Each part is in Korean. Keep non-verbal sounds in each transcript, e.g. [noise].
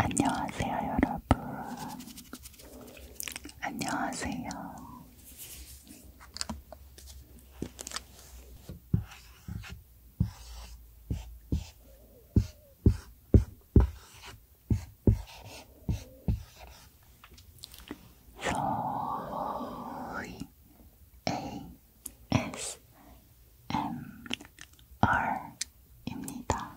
안녕하세요, 여러분. 안녕하세요. 로이 ASMR입니다.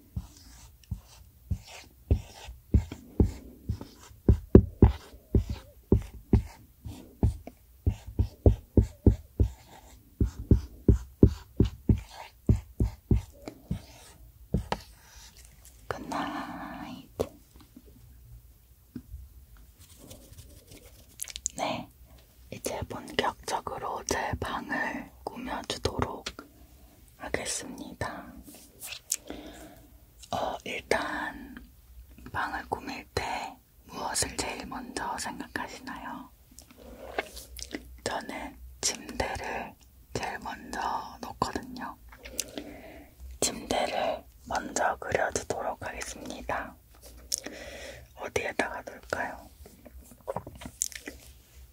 Good night. 네, 이제 본격적으로 제 방을 잘 꾸며주도록 하겠습니다. 어, 일단 방을 꾸밀 때 무엇을 제일 먼저 생각하시나요? 저는 침대를 제일 먼저 놓거든요. 침대를 먼저 그려주도록 하겠습니다. 어디에다가 놓을까요?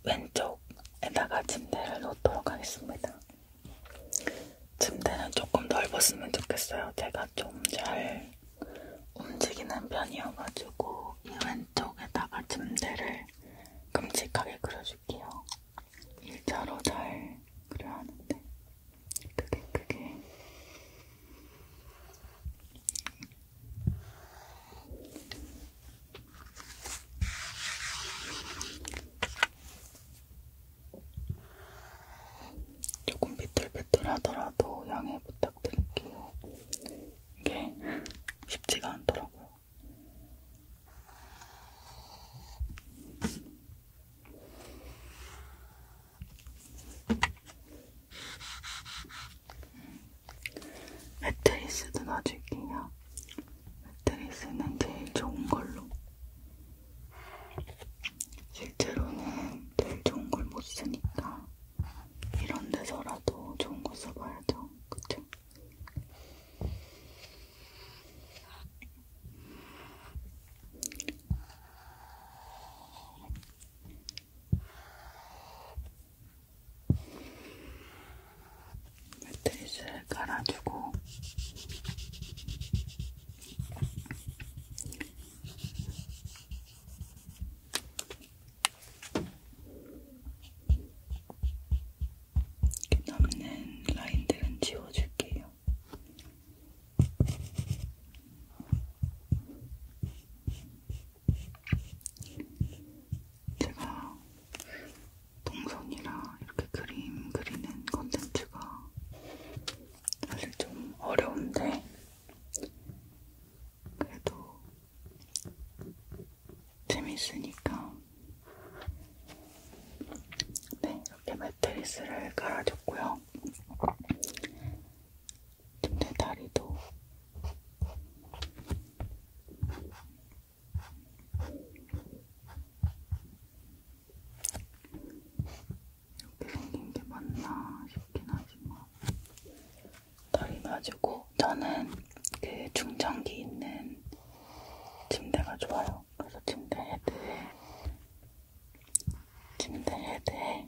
왼쪽에다가 침대를 놓도록 하겠습니다. 침대는 조금 넓었으면 좋겠어요. 제가 좀 잘 움직이는 편이어가지고 이 왼쪽에다가 침대를 큼직하게 그려줄게요. 일자로 잘 그려야 하는데 그게 그게 조금 비틀비틀 하더라도 양해 부탁드릴게요. 이게 쉽지가 않더라고요. 매트리스도 넣어줄게요. 매트리스는 제일 좋은 걸로. 실제로는 제일 좋은 걸 못 쓰니까 이런 데서라도 좋은 거 써봐야죠. 그쵸? 매트리스를 깔아주고 이렇게 남는 라인들은 지워줄게요. 제가 동선이라 이렇게 그림 그리는 컨텐츠가 사실 좀 어려운데 그래도 재밌으니까 네 이렇게 매트리스를 깔아줬고요 침대 다리도 이렇게 생긴 게 맞나 싶긴 하지만 다리 놔주고 저는 그 충전기 있는 침대가 좋아요. 그래서 침대 헤드에 침대 헤드에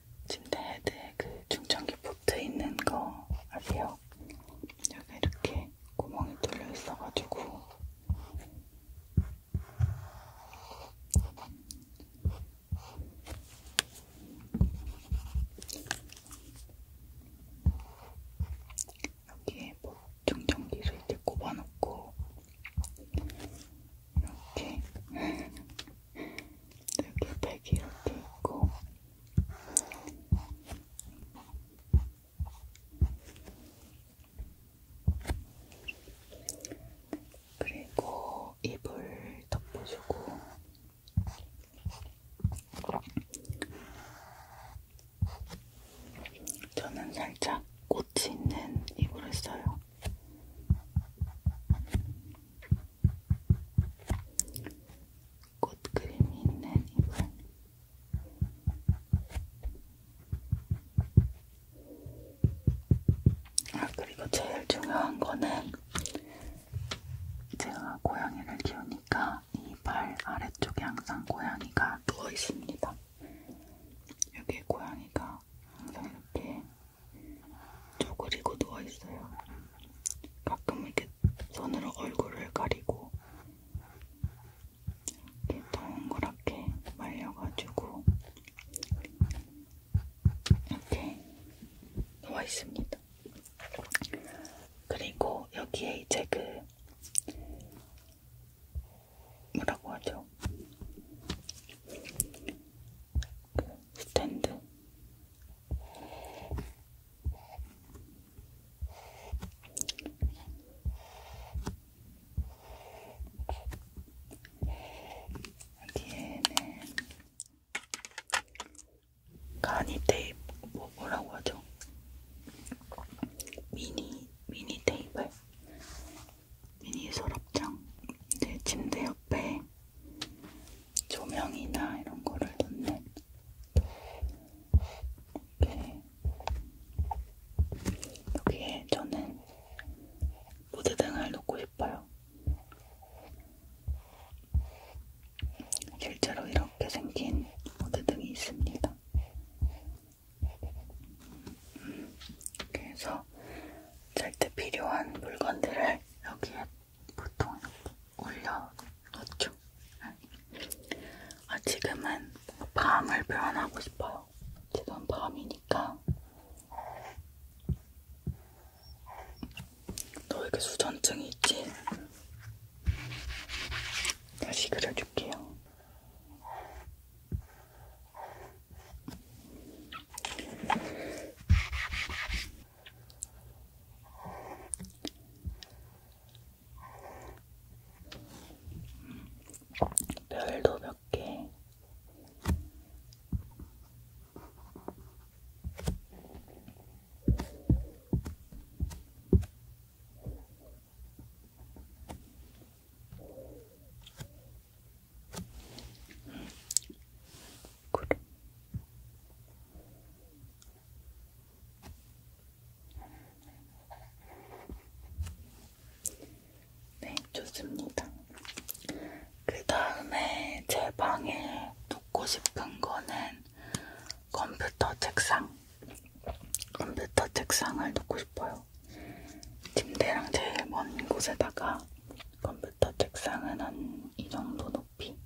침대 헤드에 그 충전기 포트 있는 거 아세요? 여기 이렇게 구멍이 뚫려 있어가지고 여기에 뭐 충전기를 이렇게 꼽아놓고 이렇게 이렇게 백이 이렇게 있고 그리고 이불 덮어주고 저는 살짝 꽃이 있는 이불을 써요. 꽃그림이 있는 이불 아 그리고 제일 중요한 거는 제가 고양이를 키우니까 이 발 아래쪽에 항상 고양이가 누워있습니다. 여기 고양이가 항상 이렇게 쪼그리고 누워있어요. 가끔 이렇게 손으로 얼굴을 가리고 이렇게 동그랗게 말려가지고 이렇게 누워있습니다. 그리고 여기에 이제 그 뭐라고 하죠? 그 스탠드 여기에는 가니 테이프 뭐 뭐라고 하죠? 미니 미니 테이블 미니 서랍장 내 네, 침대 옆에 조명이나 이런 거를 넣는 이렇게 여기에 저는 무드등을 놓고 싶어요. 실제로 이렇게 생긴 무드등이 있습니다. 그래서 잘때 필요한 물건들을 여기에 보통 이렇게 올려 놓죠. 아, 지금은 밤을 표현하고 싶어요. 지금 밤이니까. 너에게 수전증이 있지? 다시 그려줄게요. 별도 몇 개. 구름. 네, 좋습니다. 그 다음에 제 방에 놓고 싶은 거는 컴퓨터 책상. 컴퓨터 책상을 놓고 싶어요. 침대랑 제일 먼 곳에다가 컴퓨터 책상은 한 이 정도 높이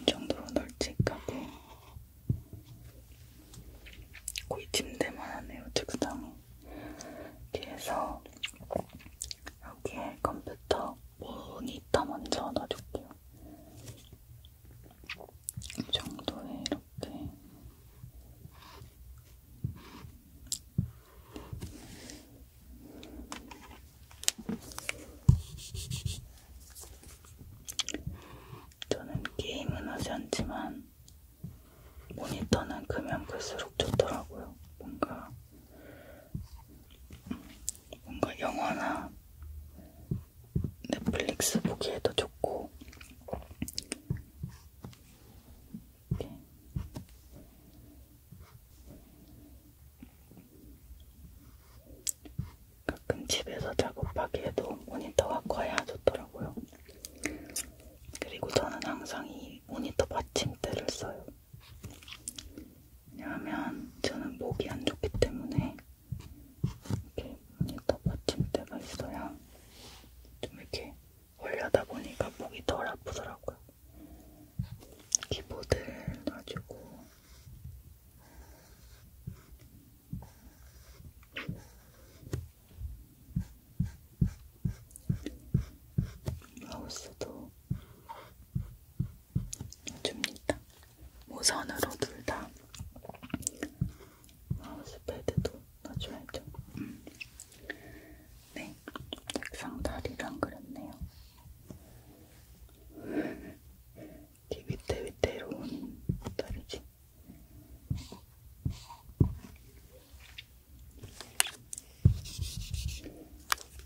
이 정도로 널찍하게 거의 침대만 하네요 책상이 뒤에서 여기에 컴퓨터 모니터 먼저 넣어줄게요 이 정도에 이렇게 저는 게임은 하지 않지만 모니터는 크면 클수록 좋더라고요. 뭔가 뭔가 영화나 넷플릭스 보기에도 좋고 이렇게. 가끔 집에서 작업하기에도 모니터가 커야 좋더라고요. 그리고 저는 항상 이 모니터 받침대를 써요. 왜냐하면 저는 목이 안 좋기 때문에 이렇게 딱 받침대가 있어야 좀 이렇게 올려다 보니까 목이 덜 아프더라고요. 키보드를 놔주고 마우스도 줍니다. 무선으로 둘다 마우스 패드도 넣어줘야죠. 음. 네, 책상 다리랑 그렸네요. 뒤 밑에 밑에로 온 다리지.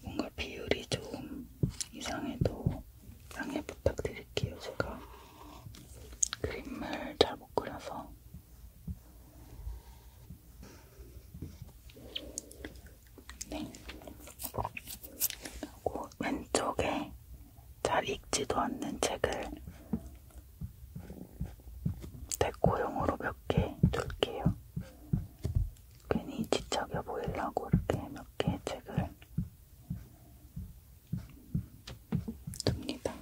뭔가 비율이 좀 이상해도 양해 부탁드릴게요. 제가 그림을 잘 못 그려서 네. 그리고 왼쪽에 잘 읽지도 않는 책을 데코용으로 몇개 둘게요. 괜히 지적여 보이려고 이렇게 몇 개 책을 둡니다.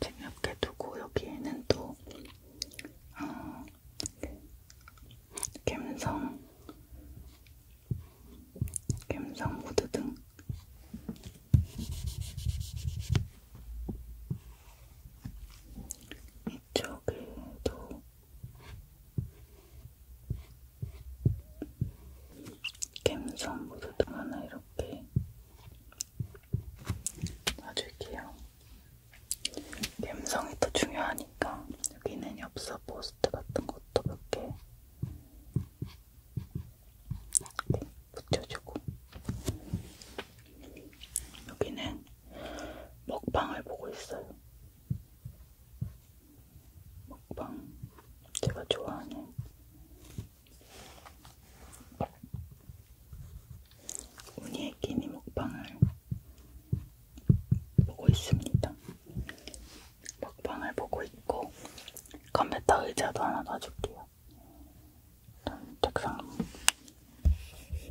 재미없게 두고 여기에는 또 어, 갬성, 갬성 무드 등 이쪽에도 갬성 모드등 하나 이렇게 놔줄게요. 갬성이 더 중요하니까 여기는 엽서 포스트 같은 것도 몇 개 붙여주고 여기는 먹방을 보고 있어요. 먹방 제가 좋아하는 우니의 끼니 먹방을 보고 있습니다. 먹방을 보고 있고 컴퓨터 의자도 하나 놔줄게요. 일단 책상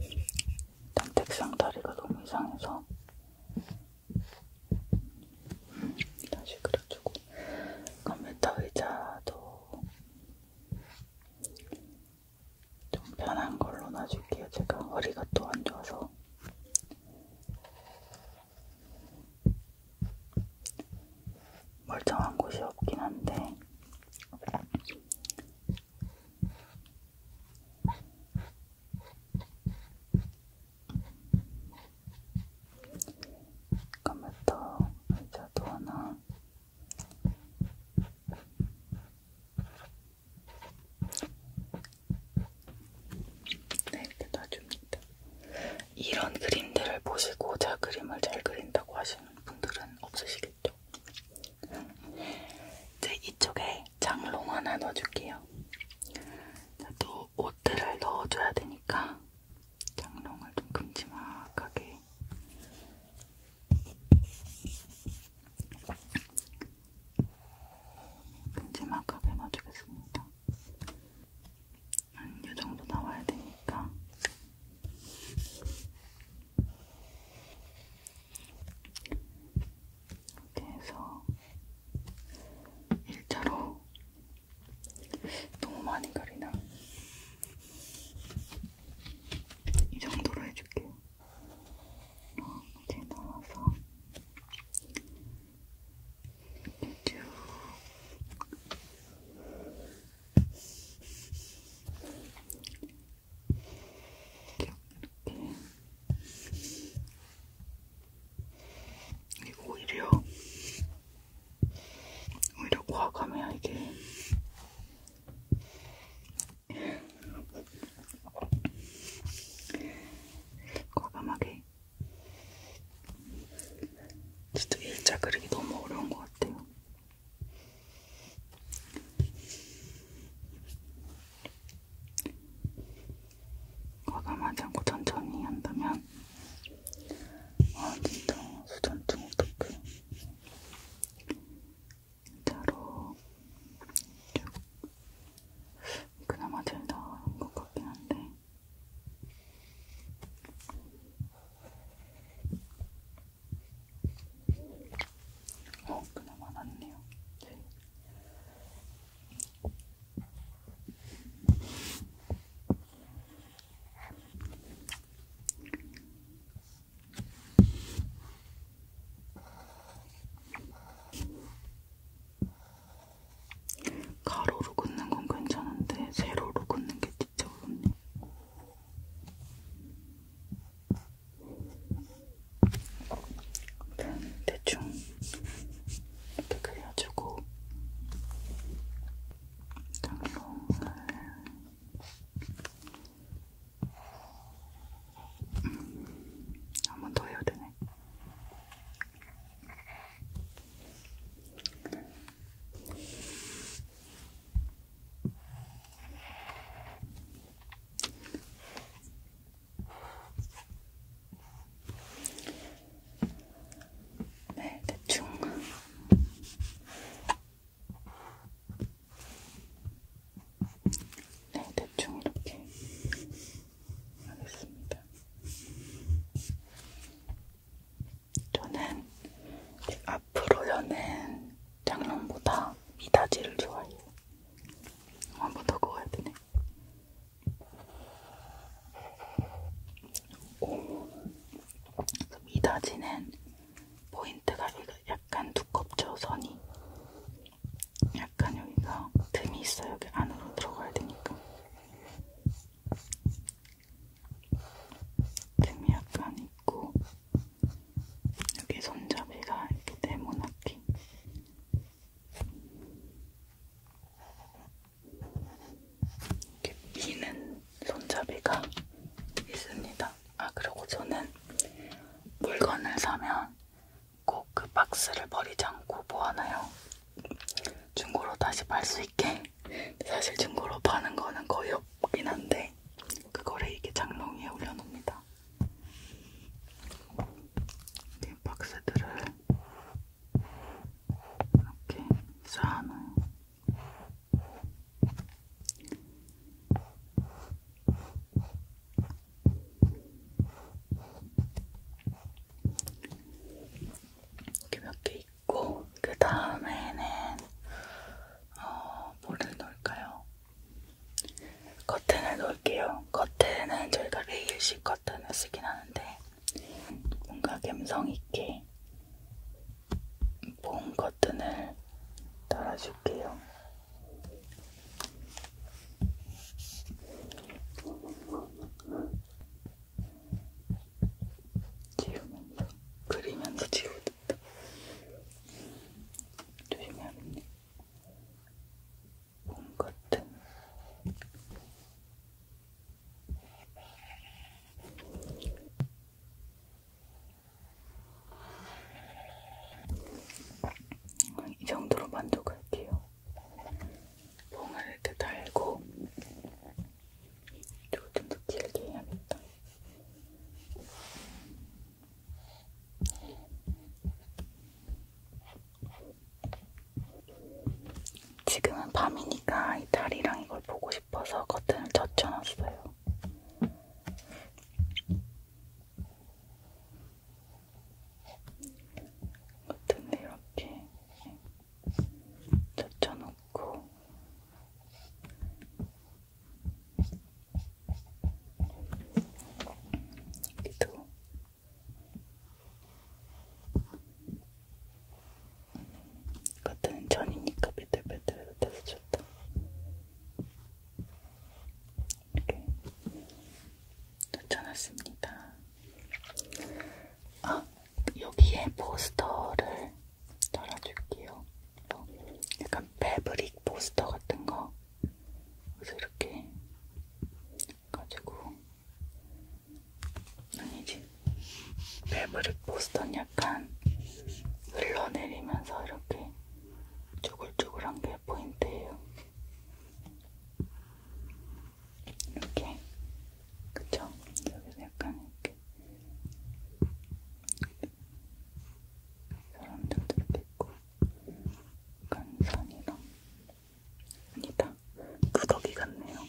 일단 책상 다리가 너무 이상해서 음, 다시 그려주고 컴퓨터 의자도 좀 편한 걸로 놔줄게요. 제가 허리가 또 안 좋아서. 멀쩡한 곳이 없긴 한데, 컴퓨터 의자도 하나 네, 이렇게 놔줍니다. 이런 그림들을 보시고 제가 그림을 잘 그린다고 하시는 분들은 없으시겠죠? 이제 이쪽에 장롱 하나 넣어줄게요. 또 옷들을 넣어줘야 되니까 장롱을 좀 큼지막하게 큼지막하게 놔주겠습니다. 한 요정도 나와야 되니까 이렇게 해서 일자로 너무 많이 가리나? 이 정도로 해줄게요. 어, 이제 나와서 이렇게 쭉 이렇게 이렇게 오히려 오히려 과감해야 이게 과감하게 진짜 일자 그리기 너무 어려운 것 같아요. 과감하지 않고 천천히 한다면 아 진짜 수전증 어떡해 진짜로 그나마 제일 나은 것 같긴 한데 어 그나마 낫네요 제일 가로로 긋는 건 괜찮은데 세로로 긋는 게 진짜 어렵네. 대충 이렇게 그려주고 장롱을 음, 한번더 해야 되네. 네, 대충. 네, 대충 이렇게 하겠습니다. 저는 앞으로 여는 장롱보다 미닫이를 좋아해요. 한번더 구워야 되네. 이다지는 포인트가 약간 두껍죠 선이 약간 여기가 틈이 있어 여기 안으로 들어가야 되니까 틈이 약간 있고 여기 손잡이가 이렇게 네모나게 이렇게 미는 손잡이가 있습니다. 아 그리고 저는 물건을 사면 꼭 그 박스를 버리지 않고 모아놔요. 중고로 다시 팔 수 있게. 사실 중고로 파는 거는 거의 없긴 한데 그거를 이게 장롱 위에 올려놓습니다. 이 박스들을 이렇게 쌓아놓아요. 이렇게 몇개 있고 그 다음에는 어, 뭐를 넣을까요? 커튼을 넣을게요. 커튼은 저희가 레일식 커튼을 쓰긴 하는데 뭔가 감성 있게 봄 커튼을 달아줄게요. 지우면서 그리면서 지우듯 조심해야겠네. 봄 커튼 이 정도로 만족할게요. 봉을 이렇게 달고 조금 더 길게 해야겠다. 지금은 밤이니까 이 달이랑 이걸 보고 싶어서 커튼을 젖혀놨어요. 커튼을 이렇게 젖혀놓고 여기도 같은 전이니까 배틀배틀 돼서 좋다. 이렇게 붙여놨습니다. 아, 여기에 포스터를 달아줄게요. 뭐, 약간 패브릭 포스터 같은 거. 그래서 이렇게 가지고 아니지. 베브릭 보스턴 약간 흘러내리면서 이렇게 쪼글쪼글한 게 포인트예요. 이렇게 그쵸? 여기서 약간 이렇게 그런 점들도 있고 약간 선이랑 아니다. 구더기 같네요.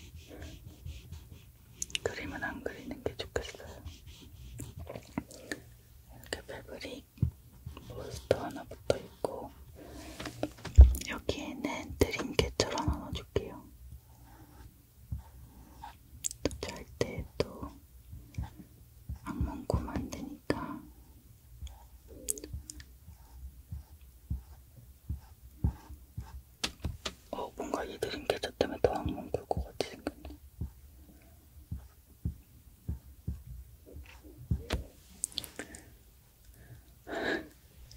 그림은 안 그리는 게 좋겠어요. 이렇게 패브릭 포스터 하나 붙어 있고 여기에는 드림캐처럼 하나 줄게요. 또잘때또 악몽 꾸면 안 되니까 어, 뭔가 이들은 계좌 때문에 더 악몽 굴것 같이 생겼네.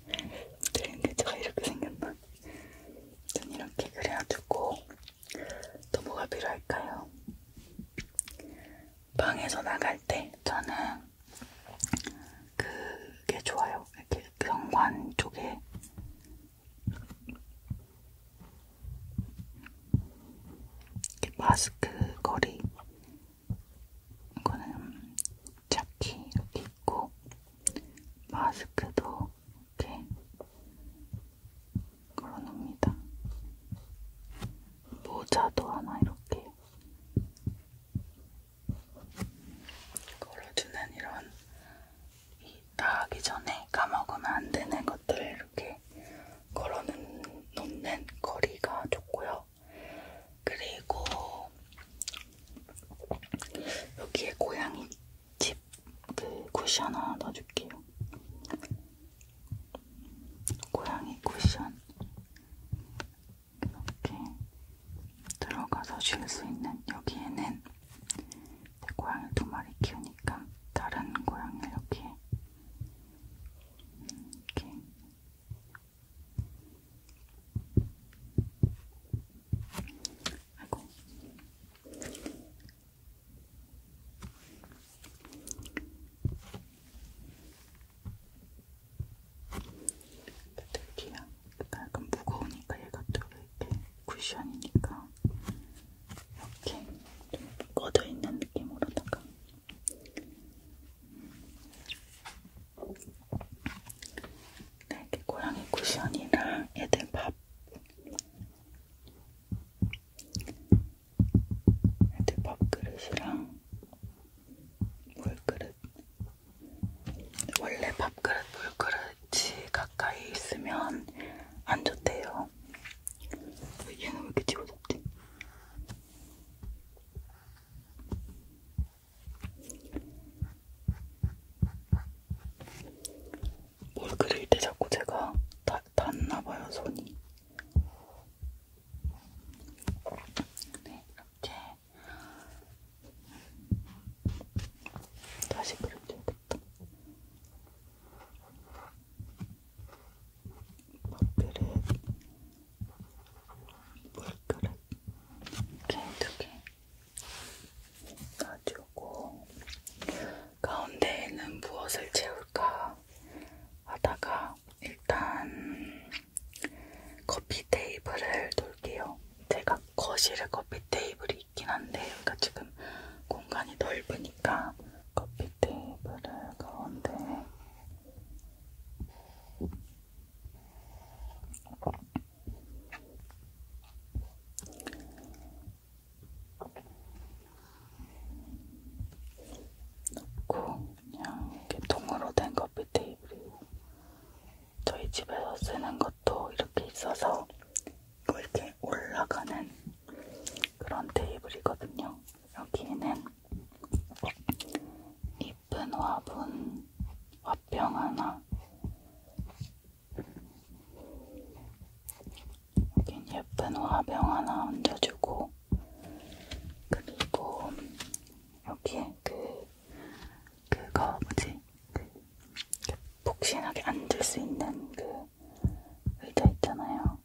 이들은 계좌가 이렇게 생겼나? 전 이렇게 그려주고 또 뭐가 필요할까요? 방에서 나갈 때 저는 그게 좋아요. 이렇게 경관 쪽에 이렇게 마스크 거리 이거는 자키 이렇게 있고 마스크도 이렇게 걸어놉니다. 모자도 하나 이렇게 걸어주는 이런 이 나가기 전에 까먹으면 안 되는 것들을 이렇게 걸어놓는 거리가 좋고요. 그리고 여기에 고양이 집그 쿠션 하나 넣어줄게요. 고양이 쿠션 이렇게 들어가서 쉴 수 있는 여기에는 고양이 두 마리 키우니까 다른 고양이를 이렇게 이렇게 아이고 되게 약간 무거우니까 얘가 또 이렇게 쿠션이니까 이렇게 좀 꺼져 있는 느낌으로다가 네, 이렇게 고양이 쿠션이랑 애들 밥 애들 밥그릇이랑 물그릇 밥그릇 원래 밥그릇 물그릇이 가까이 있으면 안 좋대요. 얘는 왜 이렇게 집어졌지? 뭘 그릴 때 자꾸 제가 다, 닿나봐요 손이 네 이렇게 다시 그려줘야겠다. 머리를 물그릇 두개 놔주고 가운데에는 무엇을 채울까 하다가 일단 커피 테이블을 돌게요. 제가 거실에 커피 테이블이 있긴 한데 여기가 그러니까 지금 공간이 넓으니까 커피 테이블을 가운데 놓고 그냥 이렇게 통으로 된 커피 테이블이 저희 집에서 쓰는 것도 이렇게 있어서 이렇게 올라가는 그런 테이블이거든요. 여기에는 이쁜 화분, 화병 하나, 여긴 예쁜 화병 하나 얹어주고, 그리고 여기에 그 그거 뭐지? 그 복싱하게 앉을 수 있는 그 의자 있잖아요.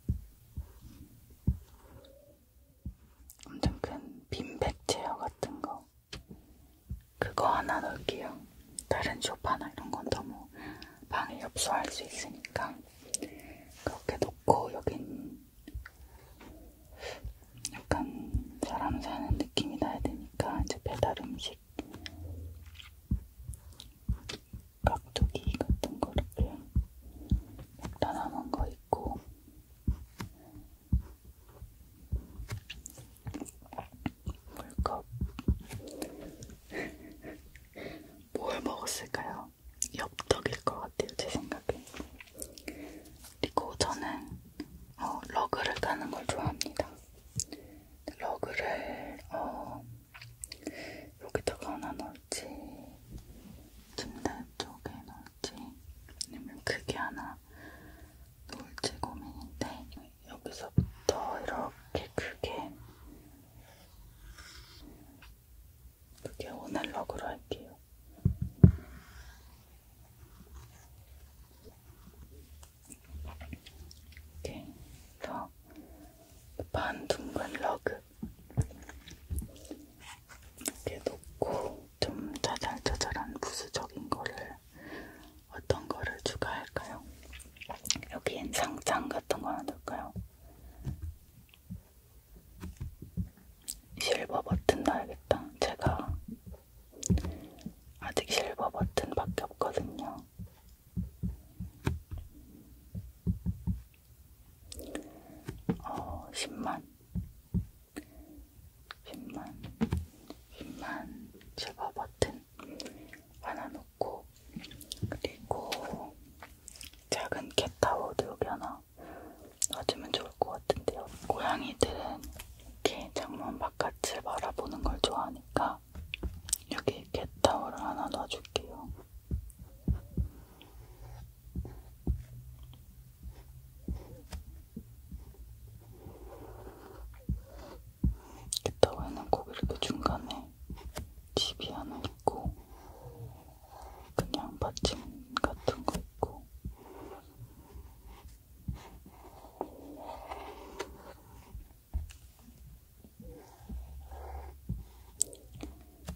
엄청 큰 빈백 체어 같은 거. 그거 하나 넣을게요. 다른 소파나 이런 건 너무 방에 협소할 수 있으니까. 그렇게 놓고 여긴 약간 사람 사는 느낌이 나야 되니까 이제 배달 음식 깍두기 같은 거 이렇게 다 남은 거 있고 물컵 [laughs] 뭘 먹었을까요? 엽떡일 것 같아요 제 생각에 그리고 저는 어, 러그를 까는 걸 좋아합니다 러그를 어, 여기다가 하나 넣을지 침대 쪽에 넣을지 아니면 크게 하나 놓을지 고민인데 여기서부터 이렇게 크게 그게 오늘 러그로 할게요. 이렇게 더 반둥근 러그 이렇게 놓고 좀 짜잘짜잘한 부수적인 거를 어떤 거를 추가할까요? 여기엔 상장 같은 거 하나 넣을까요? 실버 버튼 넣어야겠다. 제가 아직 실버 버튼밖에 없거든요. 어, 10만. 10만. 10만 실버 버튼 하나 놓고, 그리고 작은 캣타워도 여기 하나 놔주면 좋을 것 같은데요. 고양이들은 이렇게 창문 바깥을 바라보는 걸 좋아하니까 여기 캣타워를 하나 놔줄게요. 캣타워에는 꼭 이렇게 중간에 집이 하나 있고 그냥 받침 같은 거 있고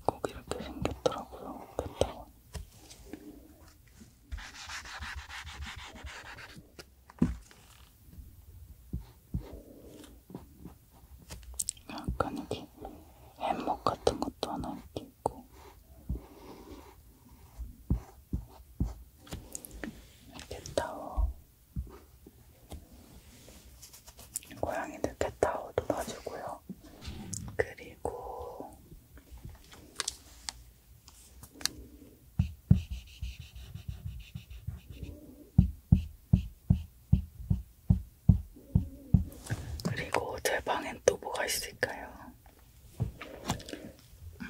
꼭 이렇게 생겼더라고요. 그다음 약간 여기 햄목 같은 것도 하나 이렇게 있고. 캣타워 고양이들 캣타워도 놔주고요. 그리고 그리고 제 방엔 또 뭐가 있을까요? 음,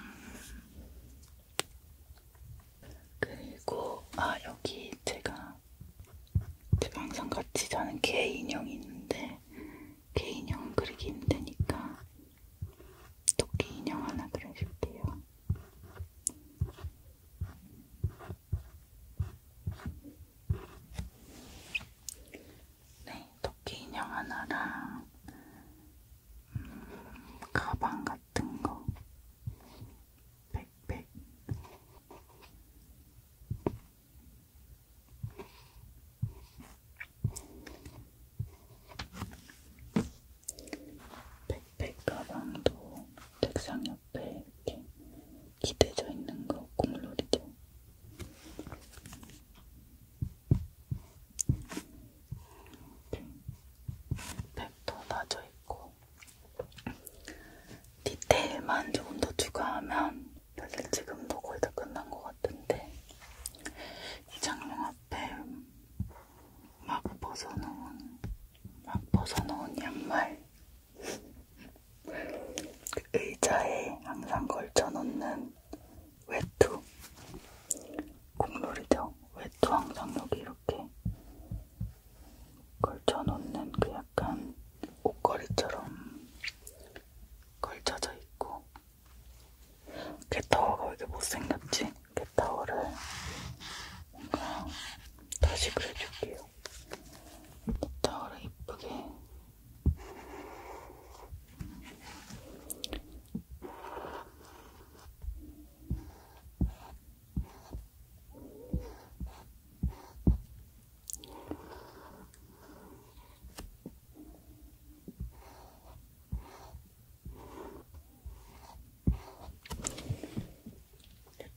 그리고 아 여기 제가 제가 항상 같이 자는 개 인형이 있는데 개 인형 그리기 힘드니까 토끼 인형 하나 그려줄게요. 네, 토끼 인형 하나랑 음, 가방 같은 거 백백 백백 가방도 책상 옆에 이렇게 기대져 있는 거 국룰이죠. 팩도 나져 있고 디테일만 조금 더 추가하면 사실 지금도 거의 다 끝난 것 같은데 이 장롱 앞에 막 벗어놓은 막 벗어놓은 양말 그 의자에 항상 걸쳐놓는 외투 공놀이죠. 왜또 항상 여기 이렇게 걸쳐놓는 그 약간 옷걸이처럼 걸쳐져 있고 캣타워가 왜 이렇게 못생겼지? 캣타워를 뭔가 다시 그려줄게요. 캣타워를 이쁘게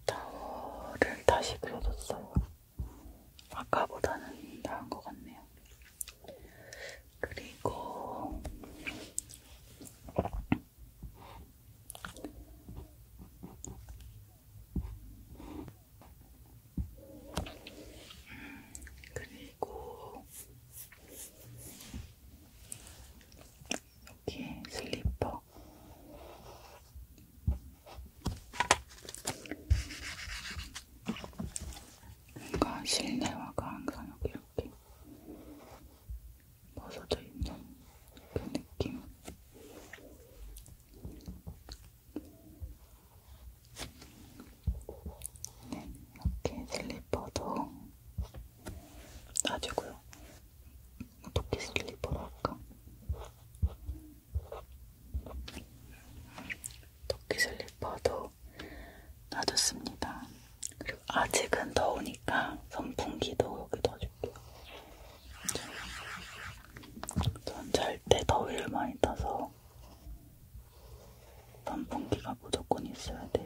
타워를 다시 그려줬어요. 아까보다는 나은 것 같네요. 그리고 그리고 여기 슬리퍼 뭔가 실내화가 항상 여기 이렇게 벗어져 있는 그 느낌. 네, 이렇게 슬리퍼도 놔주고요. 도끼 슬리퍼로 할까? 도끼 슬리퍼도 놔뒀습니다. 그리고 아직은 더우니까 선풍기도 여기 넣어줄게요. 전잘때 더위를 많이 타서 선풍기가 무조건 있어야 돼요.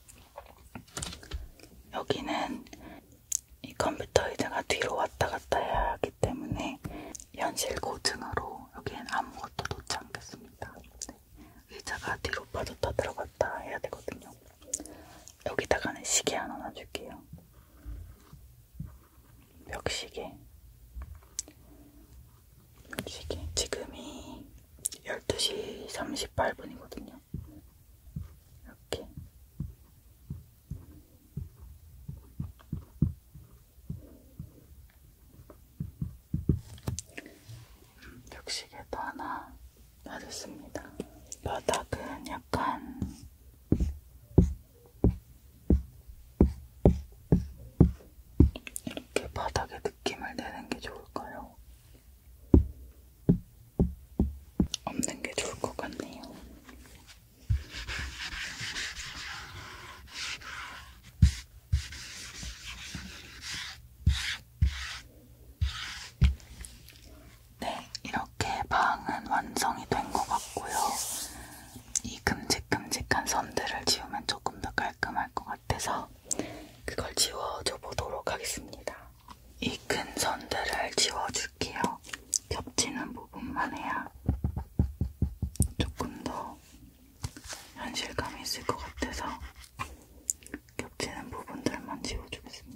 여기는 이 컴퓨터 의자가 뒤로 왔다 갔다 해야 하기 때문에 현실 고증으로 여기엔 아무것도 놓지 않겠습니다. 네. 의자가 뒤로 빠졌다 들어갔다 해야 되거든요. 여기다가는 시계 하나 놔줄게요. 벽시계. 벽시계. 지금이 12시 38분이거든요. 볼게요. 이렇게. 벽시계도 하나 받았습니다. 바닥은 약간 이렇게 바닥에 느낌을 내는 게 좋을까요? 없는 게 좋을 것 같네요. 네, 이렇게 방은 완성이 된 것 같고요. 이 큼직큼직한 선들을 지우면 조금 더 깔끔할 것 같아서 그걸 지워줘 보도록 하겠습니다. 이큰 선들을 지워줄게요. 겹치는 부분만 해야 조금 더 현실감이 있을 것 같아서 겹치는 부분들만 지워주겠습니다.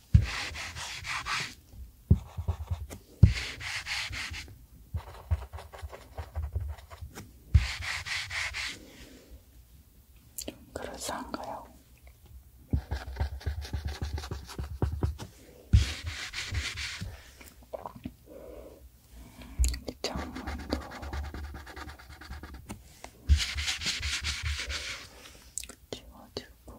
좀 그럴싸한가요? 이 창문도 지워지고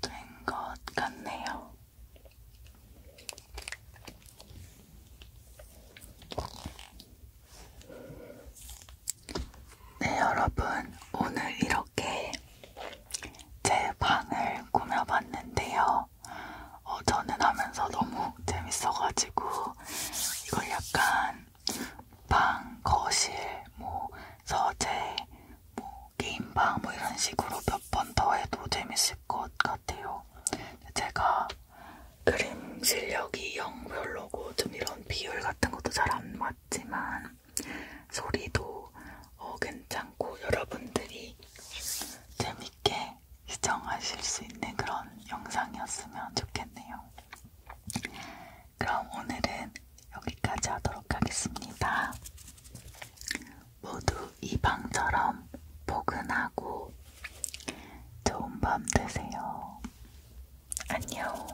된것 같네요. 네, 여러분, 오늘 이렇게 제 방을 꾸며봤는데요. 어, 저는 하면서 너무 재밌어가지고 이걸 약간 방, 거실, 뭐 서재, 뭐 게임방 뭐 이런 식으로 몇 번 더 해도 재밌을 것 같아요. 제가 그림 실력이 영 별로고 좀 이런 비율 같은 것도 잘 안 맞지만 소리도 어, 괜찮고 여러분들이 재밌게 시청하실 수 있는 그런 영상이었으면 좋겠네요. 그럼 오늘은 여기까지 하도록 하겠습니다. 모두 이 방처럼 포근하고 좋은 밤 되세요. 안녕.